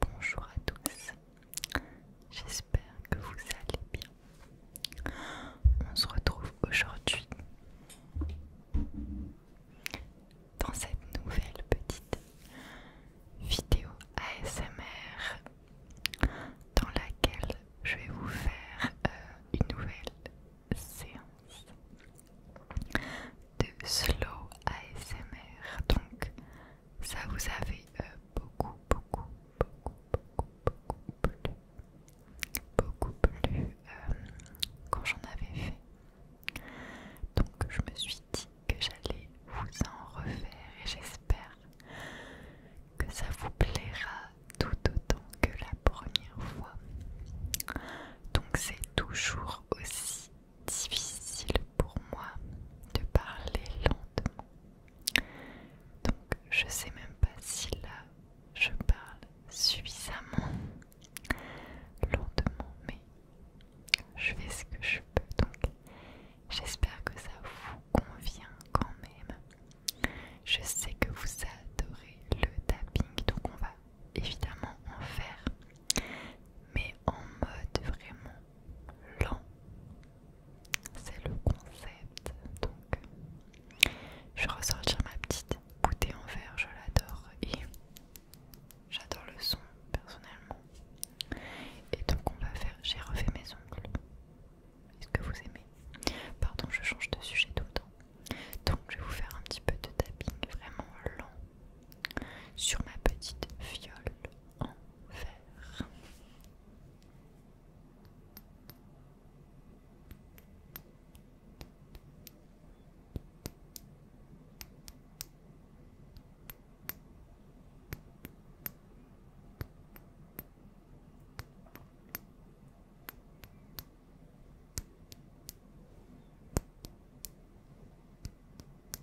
Bonjour à tous, j'espère que vous allez bien. On se retrouve aujourd'hui dans cette nouvelle petite vidéo ASMR dans laquelle je vais vous faire euh, une nouvelle séance de slow ASMR. Donc ça vous avait beaucoup, beaucoup, beaucoup, beaucoup, beaucoup plu. Beaucoup plu quand j'en avais fait. Donc je me suis dit que j'allais vous en refaire et j'espère que ça vous plaira tout autant que la première fois. Donc c'est toujours aussi difficile pour moi de parler lentement. Donc je sais même pas si là je parle suffisamment lentement, mais je fais ce que je peux. Donc j'espère que ça vous convient quand même. Je sais que vous adorez le tapping, donc on va évidemment en faire mais en mode vraiment lent. C'est le concept. Donc, je vais ressortir ma petite bouteille en verre, je l'adore et j'adore le son personnellement. Et donc, on va faire. J'ai refait mes ongles. Est-ce que vous aimez Pardon, je change de sujet tout le temps. Donc, je vais vous faire un petit peu de tapping vraiment lent sur ma petite viole enfer.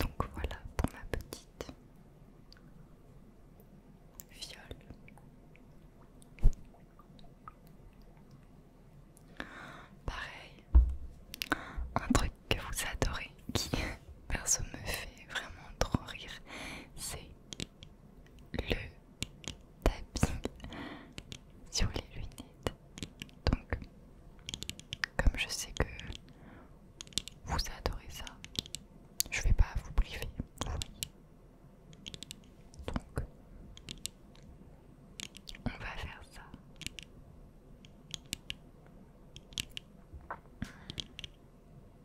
Donc voilà pour ma petite viole. Pareil, un truc que vous adorez qui perso me fait vraiment trop rire, c'est le tapis sur les lunettes. Donc, comme je sais que vous adorez ça, je vais pas vous priver. Donc, on va faire ça.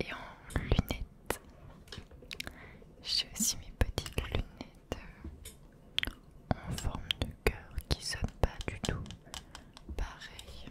Et en lunettes j'ai aussi mes petites lunettes en forme de cœur qui sonnent pas du tout pareil.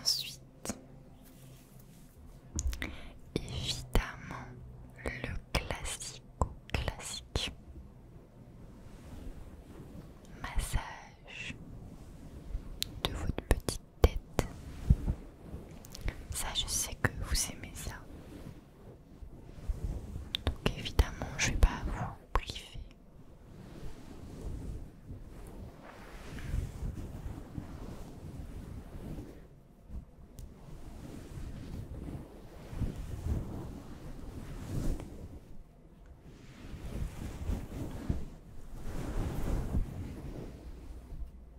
Ensuite, évidemment, le classico classique. Massage de votre petite tête. Ça, je sais que vous aimez ça. Donc évidemment, je ne vais pas vous priver.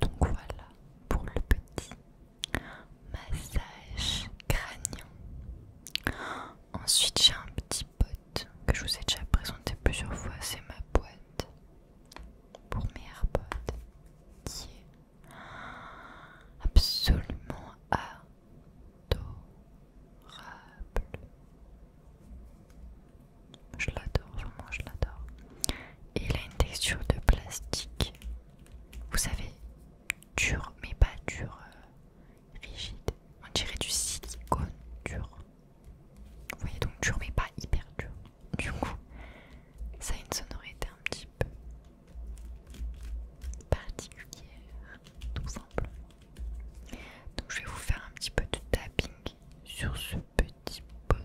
Donc voilà pour le petit massage crânien. Ensuite j'ai un petit pote que je vous ai déjà présenté plusieurs fois, c'est ma boîte pour mes AirPods qui est absolument adorable. Je l'adore, vraiment je l'adore. Et il a une texture de plastique, vous savez, dur mais pas dur, euh, rigide. On dirait du silicone dur. Vous voyez donc dur mais pas hyper dur. Du coup, ça a une sonorité un petit peu Particulier, tout simplement. Donc je vais vous faire un petit peu de tapping sur ce petit bonhomme.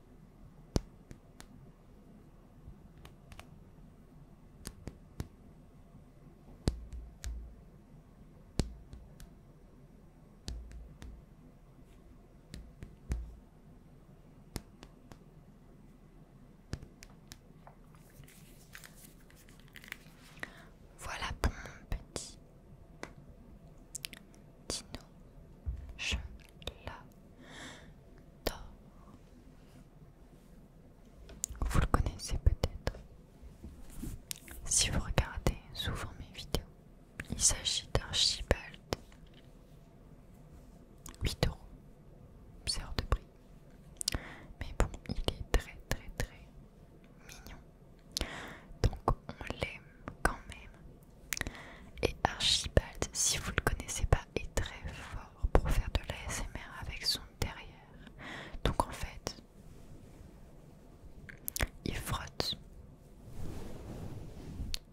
Voilà pour mon petit Dino, je l'adore. Vous le connaissez peut-être. Si vous regardez souvent mes vidéos, il s'agit d'un chibald, 8 euros, c'est hors de prix. Mais bon, il est très très très mignon. Donc on l'aime quand même et Archibald, si vous le connaissez pas, est très fort pour faire de l'ASMR avec son derrière. Donc en fait, il frotte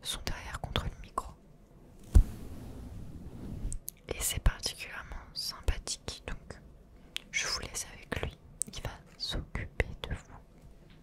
son derrière contre le micro. Et c'est particulièrement sympathique. Donc je vous laisse avec lui. Il va s'occuper de vous.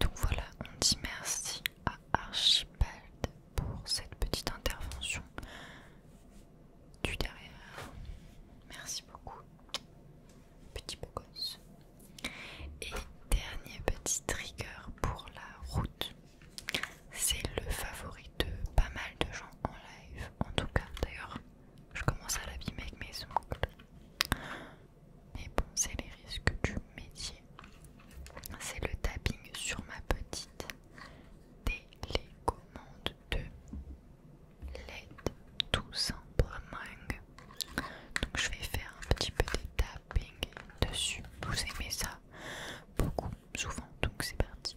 Donc voilà, on dit merci à Archibald pour cette petite intervention du derrière. Merci beaucoup, petit beau gosse. Et dernier petit trigger pour la route, c'est le favori de pas mal de gens en live. En tout cas, d'ailleurs, je commence à l'abîmer avec mes ongles. Mais bon, c'est les risques du métier. C'est le tapping sur ma petite télécommande de LED tout simplement. Donc je vais faire un petit peu de tapping dessus. Vous aimez ça beaucoup, souvent, donc c'est parti.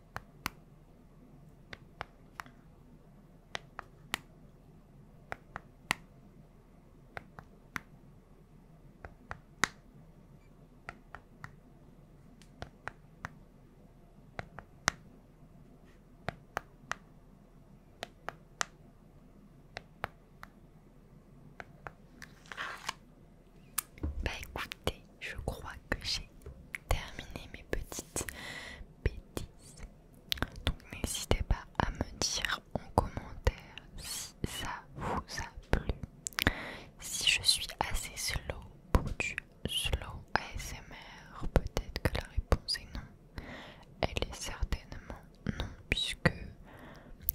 Bah écoutez, je crois que j'ai terminé mes petites bêtises. Donc n'hésitez pas à me dire en commentaire si ça vous a plu. Si je suis assez slow pour du slow ASMR, peut-être que la réponse est non. Elle est certainement non, puisque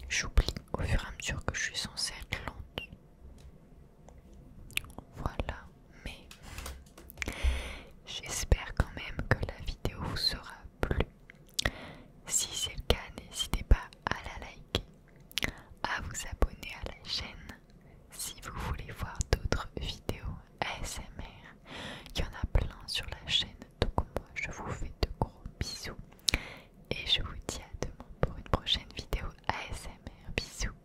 j'oublie au fur et à mesure que je suis censée être lente. Voilà, mais j'espère quand même que la vidéo vous sera plu. Si c'est le cas, n'hésitez pas à la liker, à vous abonner à la chaîne si vous voulez voir d'autres vidéos ASMR. Il y en a plein sur la chaîne, donc moi je vous fais de gros bisous et je vous dis à demain pour une prochaine vidéo ASMR. Bisous,